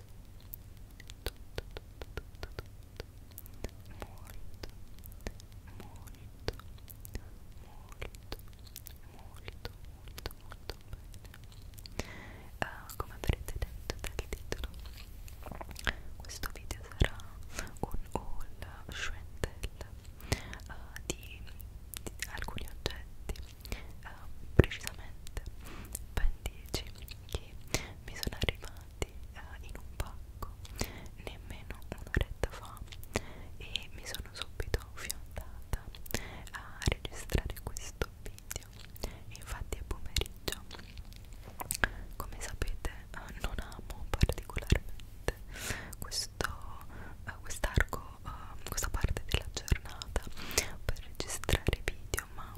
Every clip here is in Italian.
tutto, tutto, tutto, tutto, molto, molto, molto, molto, molto, molto bene. Uh, come avrete detto dal titolo, questo video sarà un haul Schwentel uh, di, di alcuni oggetti, uh, precisamente ben 10 che mi sono arrivati ordinati eh, in un pacco nemmeno un'oretta fa e mi sono subito fiondata a registrare questo video infatti è pomeriggio come sapete eh, non amo particolarmente questo eh, quest'arco eh, questa parte della giornata per registrare video ma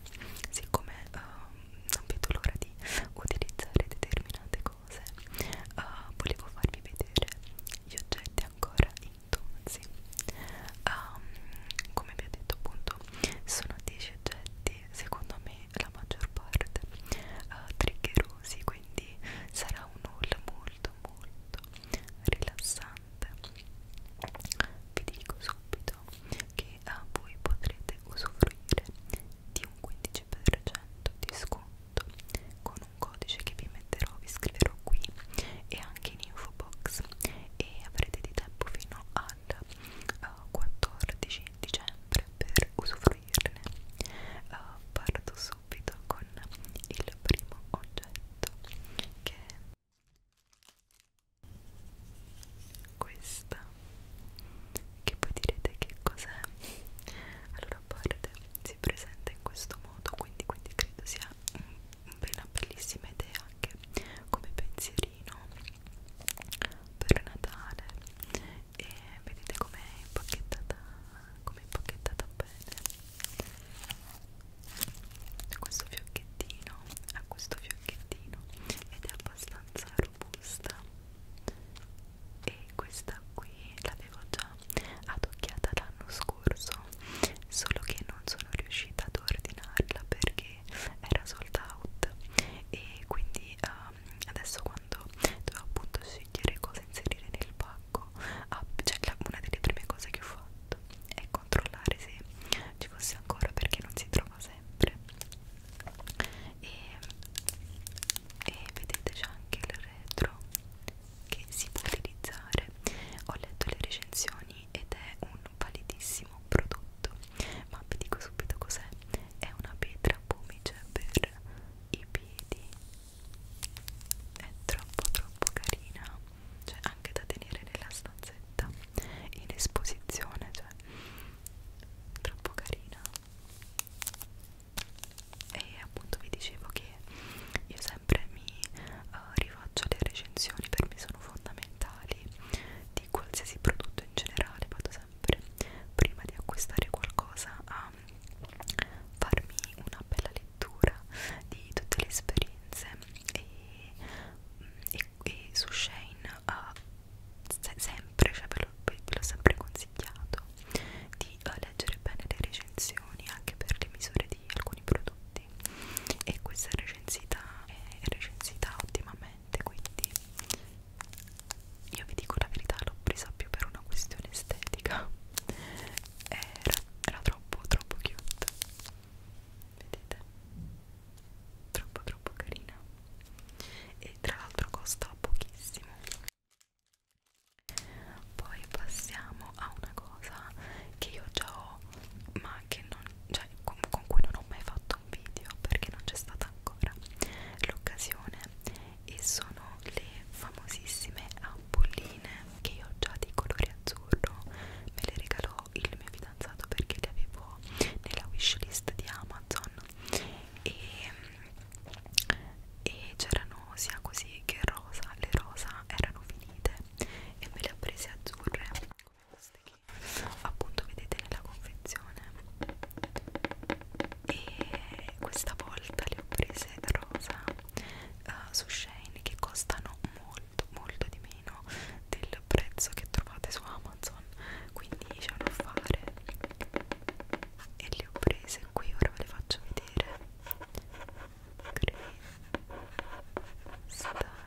siccome eh, non vedo l'ora di utilizzare determinate cose uh, volevo farvi vedere gli oggetti ancora intonsi um, ehm, come vi ho detto appunto sono 10 oggetti secondo me la maggior parte uh, triggerosi quindi sarà un haul molto molto rilassante vi dico subito che uh, voi potrete usufruire di un 15% di sconto con un codice che vi metterò, vi scriverò qui e anche in info box e avrete di tempo fino al uh, eh, 14 dicembre per usufruirne. Uh, parto subito con il primo oggetto che questa che poi direte che cos'è allora a parte si presenta in questo modo quindi, quindi credo sia una bellissima idea anche come pensierino per Natale e vedete com'è impacchettata come impacchettata bene questo fiocchettino a questo fiocchettino giacchettino ed è abbastanza robusta e questa qui l'avevo già adocchiata l'anno scorso solo che non sono riuscita ad ordinarla perché era sold out e quindi um, adesso quando dovevo appunto scegliere cosa inserire nel pacco ah, cioè la, una delle prime cose che ho fatto è controllare se ci fosse ancora perché non si trova ritornava sempre e, e vedete c'è anche il retro che si può utilizzare ho letto le recensioni ed è un validissimo prodotto ma vi dico subito cos'è è una pietra pomice per i piedi è troppo troppo carina cioè anche da tenere nella stanzetta in esposizione cioè troppo carina e appunto vi dicevo che io sempre mi uh, rifaccio le recensioni per me sono fondamentali di qualsiasi prodotto in generale vado sempre prima di acquistare qualcosa a farmi una bella lettura di tutte le esperienze e, mm, e, e su Shane uh, se sempre, cioè ve l'ho, ve l'ho sempre consigliato di uh, leggere bene le recensioni anche per le misure di alcuni prodotti e questa è recensita, è recensita ottimamente quindi io vi dico la verità l'ho presa più per una questione estetica era, era troppo troppo cute vedete troppo troppo carina e tra l'altro costa pochissimo poi passiamo a una cosa che io già ho ma che non, cioè, con, con cui non ho mai fatto un video perché non c'è stata ancora l'occasione e sono le famosissime ampolline che io ho già di colore azzurro me le regalò il mio fidanzato perché li avevo nella wishlist di Amazon e, e c'erano sia così che rosa, le rosa erano finite e me le ho prese azzurre come queste che appunto vedete nella confezione e questa volta le ho prese rosa uh, su Shane che costano molto molto di meno meno del prezzo che trovate su Amazon quindi c'è da fare e le ho prese qui ora ve le faccio vedere Green Star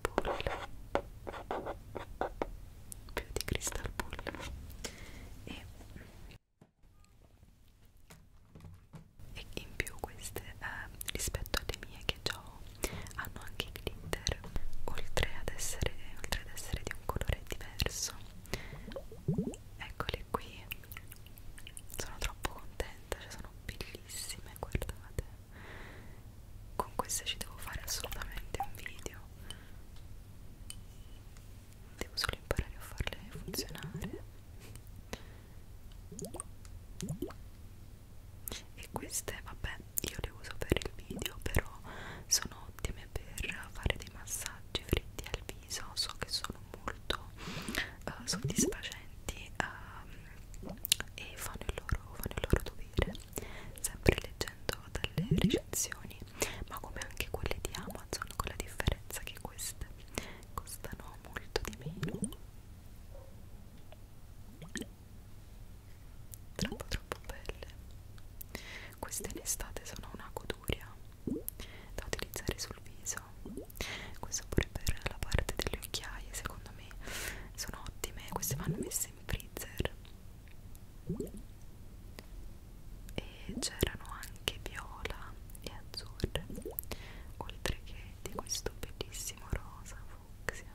Bull più di Crystal Bull e e in più queste eh, rispetto alle mie che già ho hanno anche i glitter oltre ad essere oltre ad essere di un colore diverso eccoli qui sono troppo contenta cioè sono bellissime guardate con queste ci devo fare assolutamente un video devo solo imparare a farle funzionare e queste vabbè io le uso per il video però sono ottime per fare dei massaggi fritti al viso so che sono molto uh, soddisfacenti um, e fanno il, loro, fanno il loro dovere sempre leggendo dalle recensioni ma come anche quelle di Amazon con la differenza che queste costano molto di meno troppo troppo belle queste in estate sono una goduria da utilizzare sul viso questo pure per la parte delle occhiaie secondo me sono ottime queste vanno messe in freezer e c'erano anche viola e azzurre oltre che di questo bellissimo rosa fucsia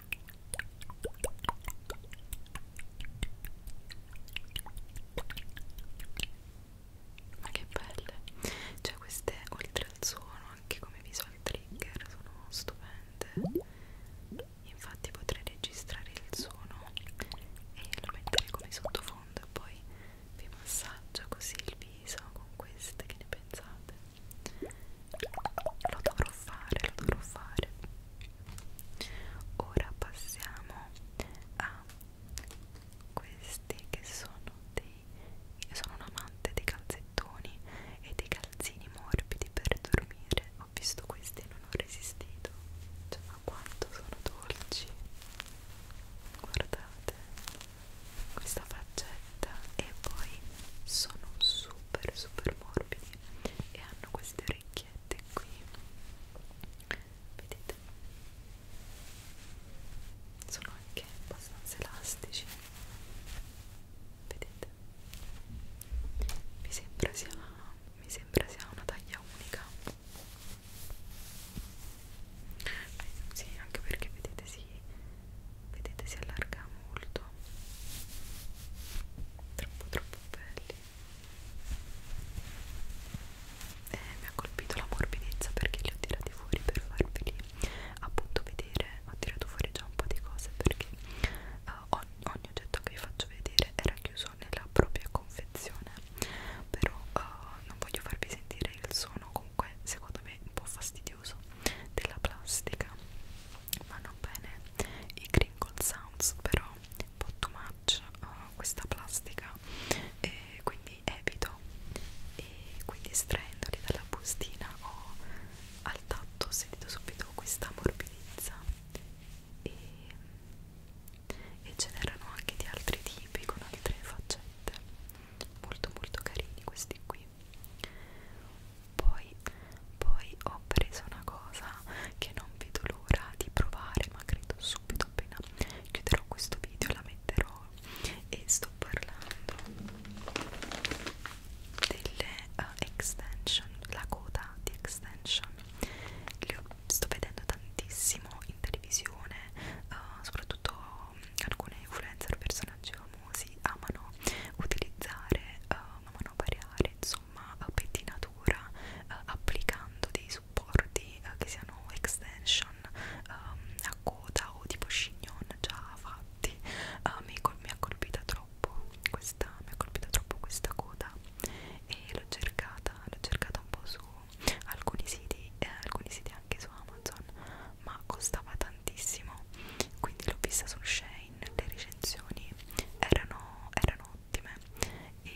ma che belle cioè queste oltre al suono anche come visual trigger sono stupende infatti potrei registrare il suono e lo mettere come sottofondo e poi vi massaggio così il viso con queste che ne pensate lo dovrò fare, lo dovrò fare. Ora passiamo a questi che sono dei sono un amante dei calzettoni e dei calzini morbidi per dormire. Ho visto questi e non ho resistito. Cioè, ma quanto sono dolci! Guardate questa faccetta e poi sono super super morbidi e hanno queste orecchiette qui vedete sono anche abbastanza elastici vedete mi sembra sia mi sembra sia una taglia unica sì anche perché vedete si vedete si allarga molto troppo troppo belli e eh, mi ha colpito la morbidezza perché li ho tirati fuori per farveli appunto vedere ho tirato fuori già un po' di cose perché uh, ogni, ogni oggetto che vi faccio vedere era chiuso nella propria confezione però uh, non voglio farvi sentire il suono comunque secondo me un po' fastidioso della plastica vanno bene i crinkle sounds però un po' too much uh, questa plastica e quindi evito e quindi estraendoli dalla bustina ho al tatto sentito subito questa morbidezza e, e ce n'erano anche di altri tipi con altre faccette molto molto carini questi qui poi, poi ho preso una cosa che non vedo l'ora di provare, ma credo subito appena chiuderò questo video la metterò e sto parlando delle uh, extension, la coda di extension. Le ho, sto vedendo tantissimo in televisione, uh, soprattutto mm, alcune influencer, personaggi famosi amano utilizzare uh, manovariare insomma eh, pettinatura eh, applicando dei supporti eh, che siano extension ehm, a coda o tipo chignon già fatti eh, mi, mi ha colpita troppo questa mi ha colpita troppo questa coda e l'ho cercata l'ho cercata un po' su alcuni siti eh, alcuni siti anche su Amazon ma costava tantissimo quindi l'ho vista su Shane online le recensioni erano, erano ottime e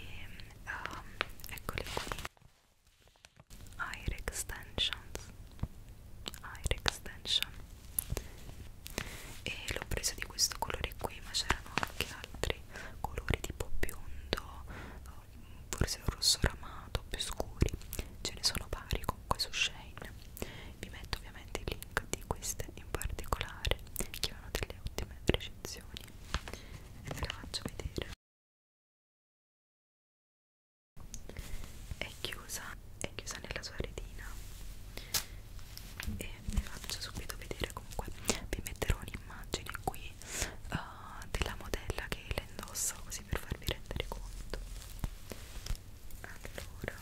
um, eccole qui Air Extensions Air Extension e l'ho preso di questo colore qui ma c'erano anche altri colori tipo biondo um, forse rosso ramato più scuri ce ne sono vari comunque su Shane vi metto ovviamente i link di queste in particolare che hanno delle ottime recensioni e ve le faccio vedere. È chiusa, è chiusa nella sua retina e vi faccio subito vedere comunque vi metterò un'immagine qui uh, della modella che la indossa così per farvi rendere conto allora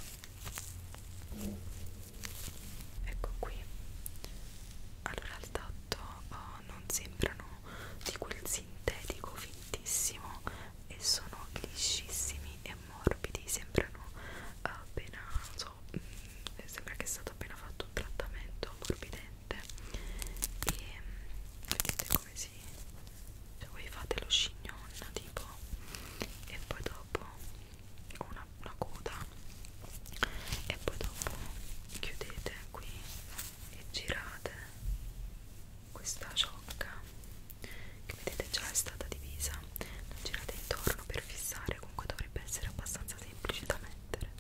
ecco qui allora al tatto oh, non sembrano di quel sintetico fintissimo e sono liscissimi e morbidi sembrano eh, appena non so mh, mm, sembra che è stato appena fatto un trattamento morbidente e vedete come si cioè voi fate lo scignon tipo e poi dopo una, una coda e poi dopo chiudete qui e girate questa ciocca che vedete già è stata divisa la girate intorno per fissare comunque dovrebbe essere abbastanza semplice da mettere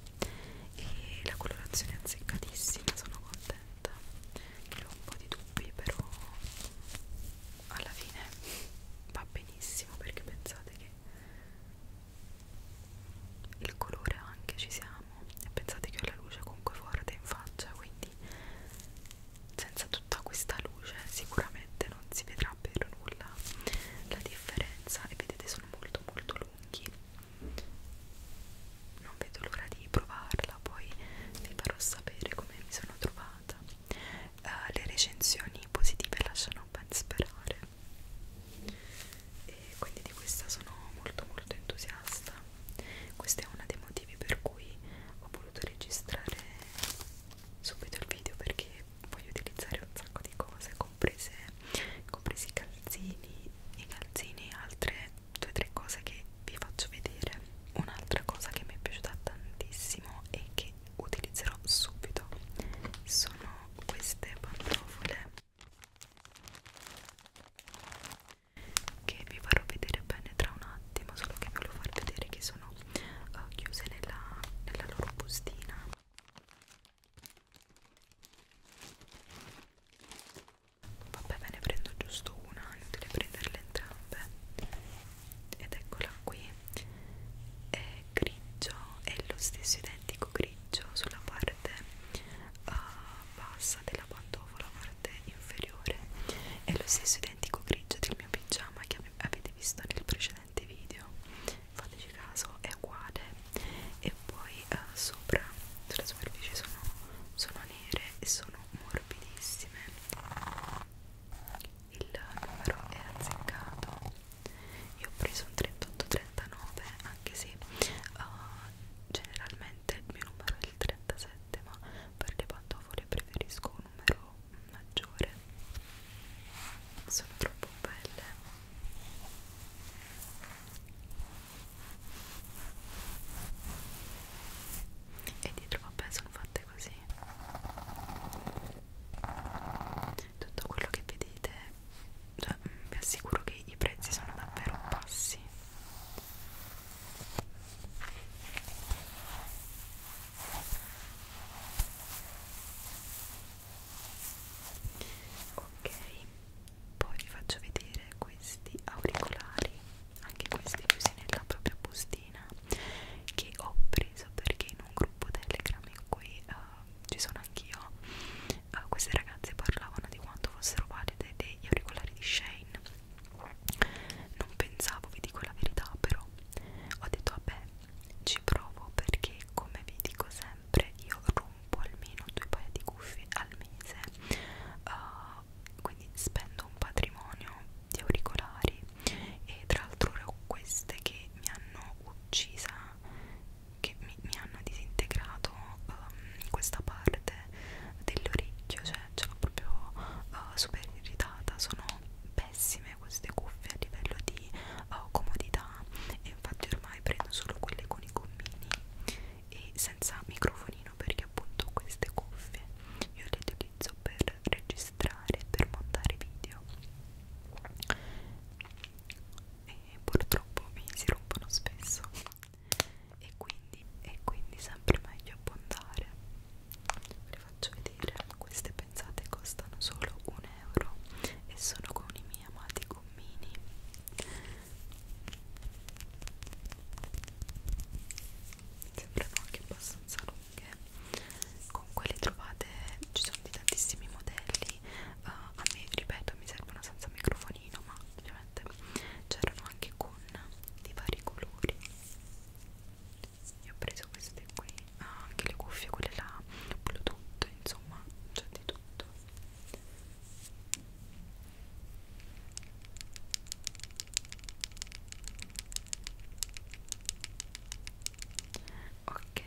e la colorazione è azzeccatissima sono contenta che ho un po' di dubbi però alla fine va benissimo perché pensate che il colore anche ci siamo e pensate che ho la luce comunque forte in faccia quindi senza tutta questa luce sicuramente non si vedrà per nulla la differenza e vedete sono molto molto lunghi non vedo l'ora di provarla poi vi farò sapere come mi sono trovata uh, le recensioni positive lasciano ben sperare e quindi di questa sono molto molto entusiasta questo è uno dei motivi per cui ho voluto registrare subito il video perché voglio utilizzare un sacco di cose comprese, compresi i calzini i calzini e altre due o tre cose che vi faccio vedere un'altra cosa che mi è piaciuta tantissimo e che che utilizzerò subito sono queste pantofole che vi farò vedere bene tra un attimo solo che volevo far vedere che sono uh, chiuse nella, nella loro bustina vabbè ve ne prendo giusto una inutile prenderle entrambe ed eccola qui è grigio è lo stesso identico grigio sulla parte uh, bassa della pantofola parte inferiore è lo stesso identico grigio del mio pigiama che avete visto nel precedente video fateci caso è uguale e poi uh, sopra sulla superficie sono, sono nere e sono morbidissime il numero è azzeccato io ho preso un 38-39 anche se uh, generalmente il mio numero è il 37 ma per le pantofole preferisco un numero maggiore sono troppo belle e dietro vabbè sono fatte latte così tutto quello che vedete cioè, mm, vi assicuro che i prezzi sono davvero bassi ok poi vi faccio vedere questi auricolari anche questi chiusi nella propria bustina carina che ho preso perché in un gruppo Telegram in cui uh, ci sono anch'io uh, queste ragazze parlavano di quanto fossero valide degli auricolari di Shane non pensavo, vi dico la verità però ho detto vabbè ci provo perché come vi dico sempre io rompo almeno due paia di cuffie al mese uh, poi spendo un patrimonio di auricolari e tra l'altro ho queste che mi hanno uccisa che mi, mi hanno disintegrato um, questa parte dell'orecchio cioè ce l'ho proprio uh, super irritata sono pessime queste cuffie a livello di uh, comodità e infatti ormai prendo solo quelle con i gommini e senza microfonino perché appunto queste cuffie io le utilizzo per registrare registrare per montare video e purtroppo mi si rompono spesso e quindi è quindi sempre meglio abbondare vi faccio vedere queste pensate costano solo un euro e sono con i miei amati gommini sembrano anche abbastanza lunghe comunque le trovate ci sono di tantissimi modelli uh, a me ripeto mi servono senza microfonino ma ovviamente c'erano anche con di vari colori io ho preso queste qui ah, anche le cuffie quelle là bluetooth insomma c'è di tutto Ok,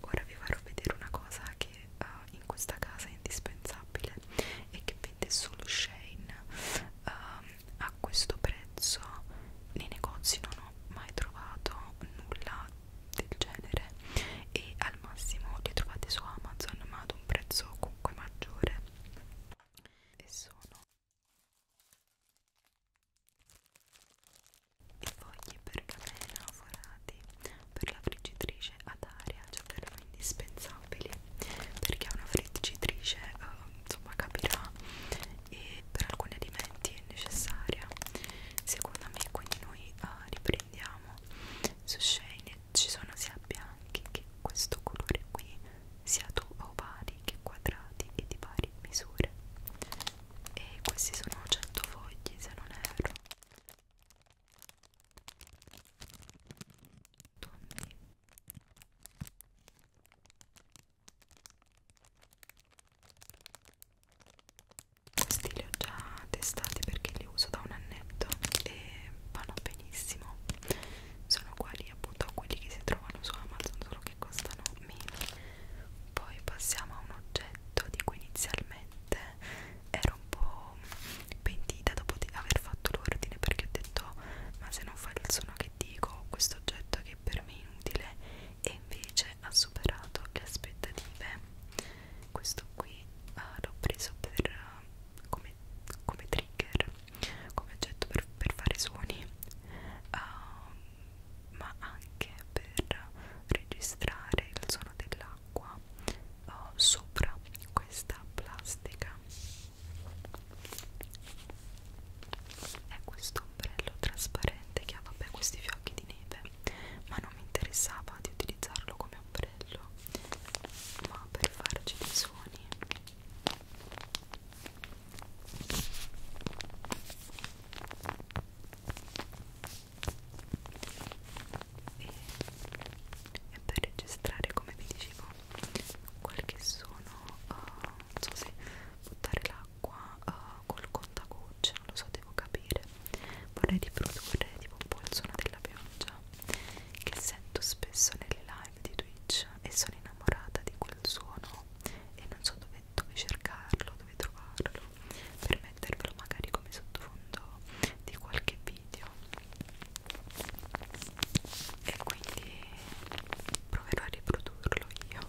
ora vi farò vedere una cosa che uh, in questa casa è indispensabile e che vende solo Shane uh, a questo prezzo nei negozi non ho mai trovato nulla del genere e al massimo li trovate su Amazon ma ad un prezzo comunque maggiore e sono i fogli pergamena forati per la friggitrice ad aria cioè per me indispensabili perché una friggitrice eh, insomma capirà e per alcuni alimenti è necessaria secondo me quindi noi eh, riprendiamo su Shane ci sono sia bianchi che questo colore qui sia a ovari che quadrati e di varie misure e questi sono 100 fogli se non erro Tondi. Questi li ho già testati perché li uso da un annetto e vanno benissimo. Sono uguali appunto a quelli che si trovano su Amazon, solo che che costano meno poi passiamo a un oggetto di cui inizialmente ero un po' pentita dopo di aver fatto l'ordine perché ho detto ma se non fa il suono che dico questo oggetto che per me è inutile e invece ha superato le aspettative questo qui uh, l'ho preso per uh, come, come trigger come oggetto per, per fare suoni uh, ma anche per registrare il suono dell'acqua uh, sopra questa plastica è questo ombrello trasparente che ha vabbè questi fiocchi di neve ma non mi interessava di utilizzarlo come ombrello ma per farci dei suoni e, e per registrare come vi dicevo qualche suono uh, non so se buttare l'acqua uh, col contagoccia non lo so devo capire vorrei riprodurre tipo un po' il suono della pioggia che sento spesso nelle live live di Twitch e sono innamorata di quel suono e non so dove, dove cercarlo, dove trovarlo per mettervelo magari come sottofondo di qualche video e quindi proverò a riprodurlo io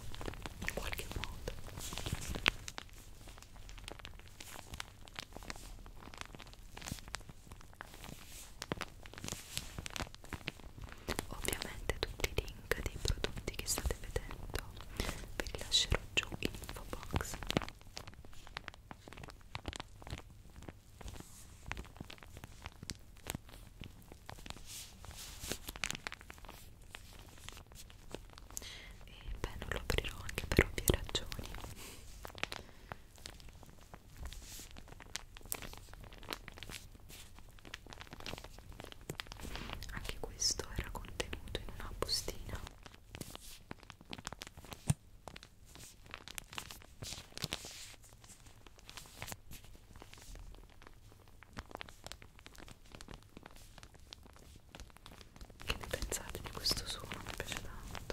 in qualche modo Ovviamente tutti i link dei prodotti che state vedendo vi lascerò giù in info box. E beh, non lo aprirò anche per ovvie ragioni. Anche questo era contenuto in una bustina. Che ne pensate di questo suono? Mi piace tanto.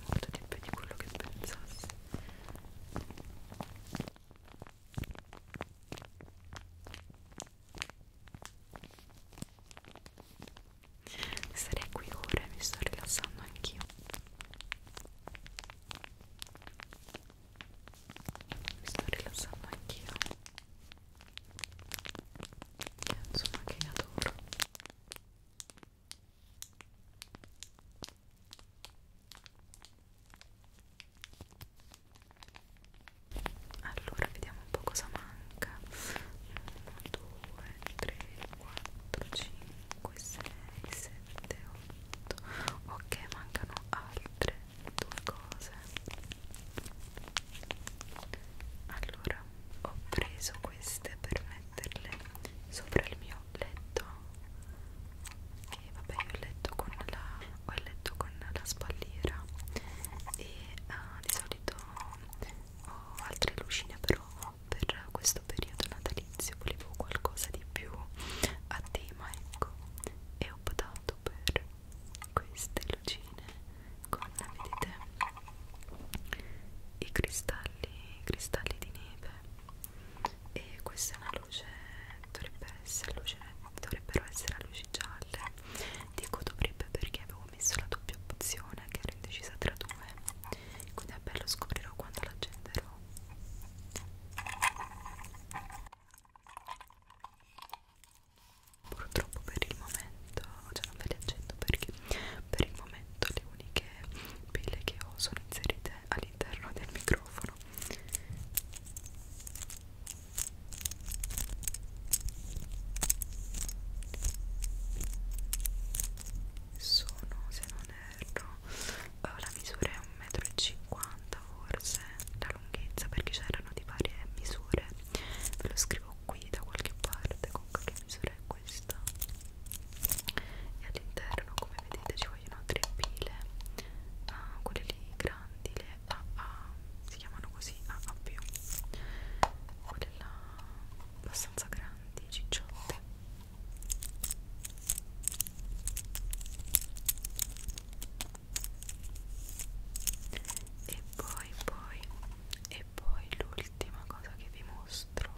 molto di più di quello che pensassi sarei qui ora e mi sto rilassando anch'io mi sto rilassando anch'io insomma che adoro allora vediamo un po' cosa manca 1 2 3 4 5 6 7 8 ok mancano altre due cose allora allora ho preso queste per metterle sopra il mio letto che vabbè io ho letto con la, ho letto con la spalliera e uh, di solito ho altre lucine però per questo periodo natalizio volevo qualcosa di più a tema ecco e ho optato per queste lucine con vedete i cristalli, cristalli di neve e questa è una luce dovrebbe essere luce dovrebbero essere a luci gialle dico dovrebbe perché avevo messo la doppia opzione che ero indecisa tra due quindi è bello scoprirò quando la accenderò Purtroppo per il momento, cioè non ve le accendo perché per il momento le uniche pelle che ho sono inserite all'interno del microfono sono se non erro eh, la misura è 1,50 m forse la lunghezza perché c'erano di varie misure ve lo scrivo qui da qualche parte con qualche misura è questa e all'interno come vedete ci vogliono tre pile uh, quelle lì grandi le AA si chiamano così AA più quelle là abbastanza grandi cicciotte e poi poi e poi l'ultima cosa che vi mostro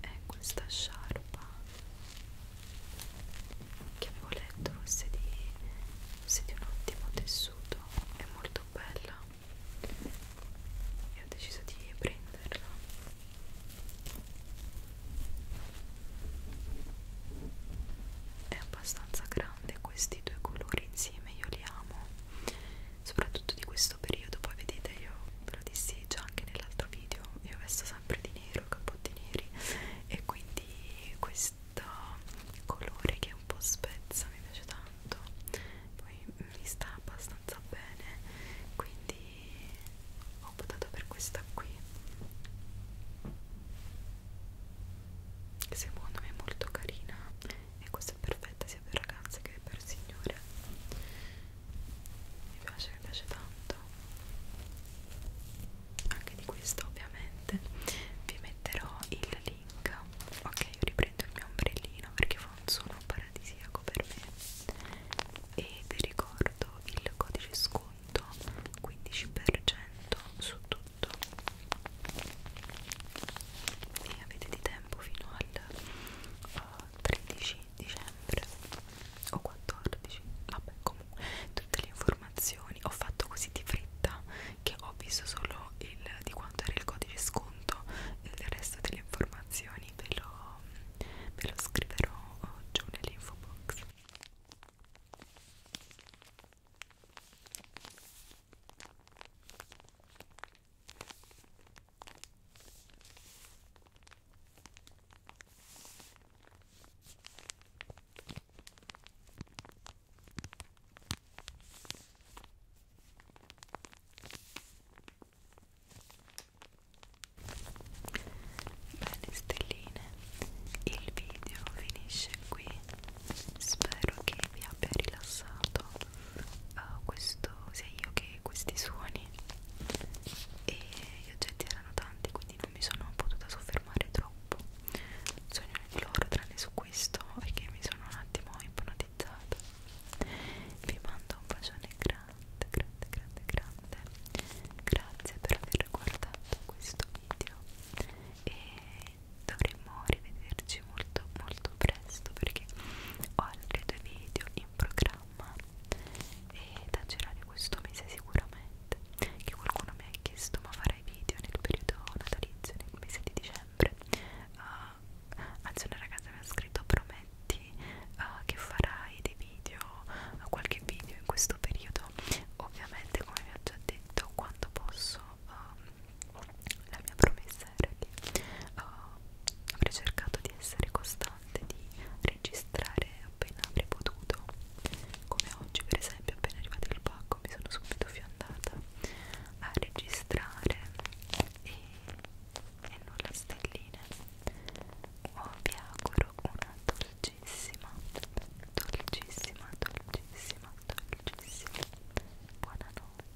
è questa sciarpa che avevo letto fosse di, fosse di un ottimo tessuto è molto bella e ho deciso di prenderla è abbastanza grande questi due colori insieme io li amo soprattutto di questo periodo poi vedete io ve lo dissi già anche nell'altro video io vesto sempre di nero cappotti neri e quindi questo colore che è un po' spezza mi piace tanto poi mi sta abbastanza bene quindi ho votato per questa qui che secondo me è molto carina e questa è perfetta, si sia per ragazze che per signore mi piace, mi piace tanto anche di questo ovviamente vi metterò il link ok io riprendo il mio ombrellino perché fa un suono paradisiaco per me e vi ricordo il codice sconto 15% su tutto e avete di tempo tempo fino al uh, eh, 13 dicembre o 14 vabbè comunque tutte le informazioni ho fatto così di fretta che ho visto solo il, di quanto era il codice sconto e il resto delle informazioni ve lo, ve lo scriverò eh, giù nell'info box Bene stelline, il video finisce qui. Spero che vi abbia rilassato uh, questo, sia io che questi suoni e gli oggetti erano tanti quindi non mi sono potuta soffermare troppo su ognuno di loro tranne su questo perché mi sono un attimo ipnotizzata vi mando un bacione grande grande grande grande grazie per aver guardato questo video e dovremmo rivederci risentirci molto molto presto perché ho altri due video in programma e da girare questo mese sicuramente che qualcuno mi ha chiesto ma farai video nel periodo natalizio nel mese di dicembre uh, anzi una ragazza mi ha scritto prometti uh, che farai dei video uh, qualche video in questo periodo ovviamente come vi ho già detto quando posso uh, la mia promessa era che oh, avrei cercato di essere costante, di registrare appena avrei potuto, come oggi per esempio appena arrivato il pacco mi sono subito fiondata a registrare e, e non la stellina. Oh, vi auguro una dolcissima, dolcissima, dolcissima, dolcissima buonanotte.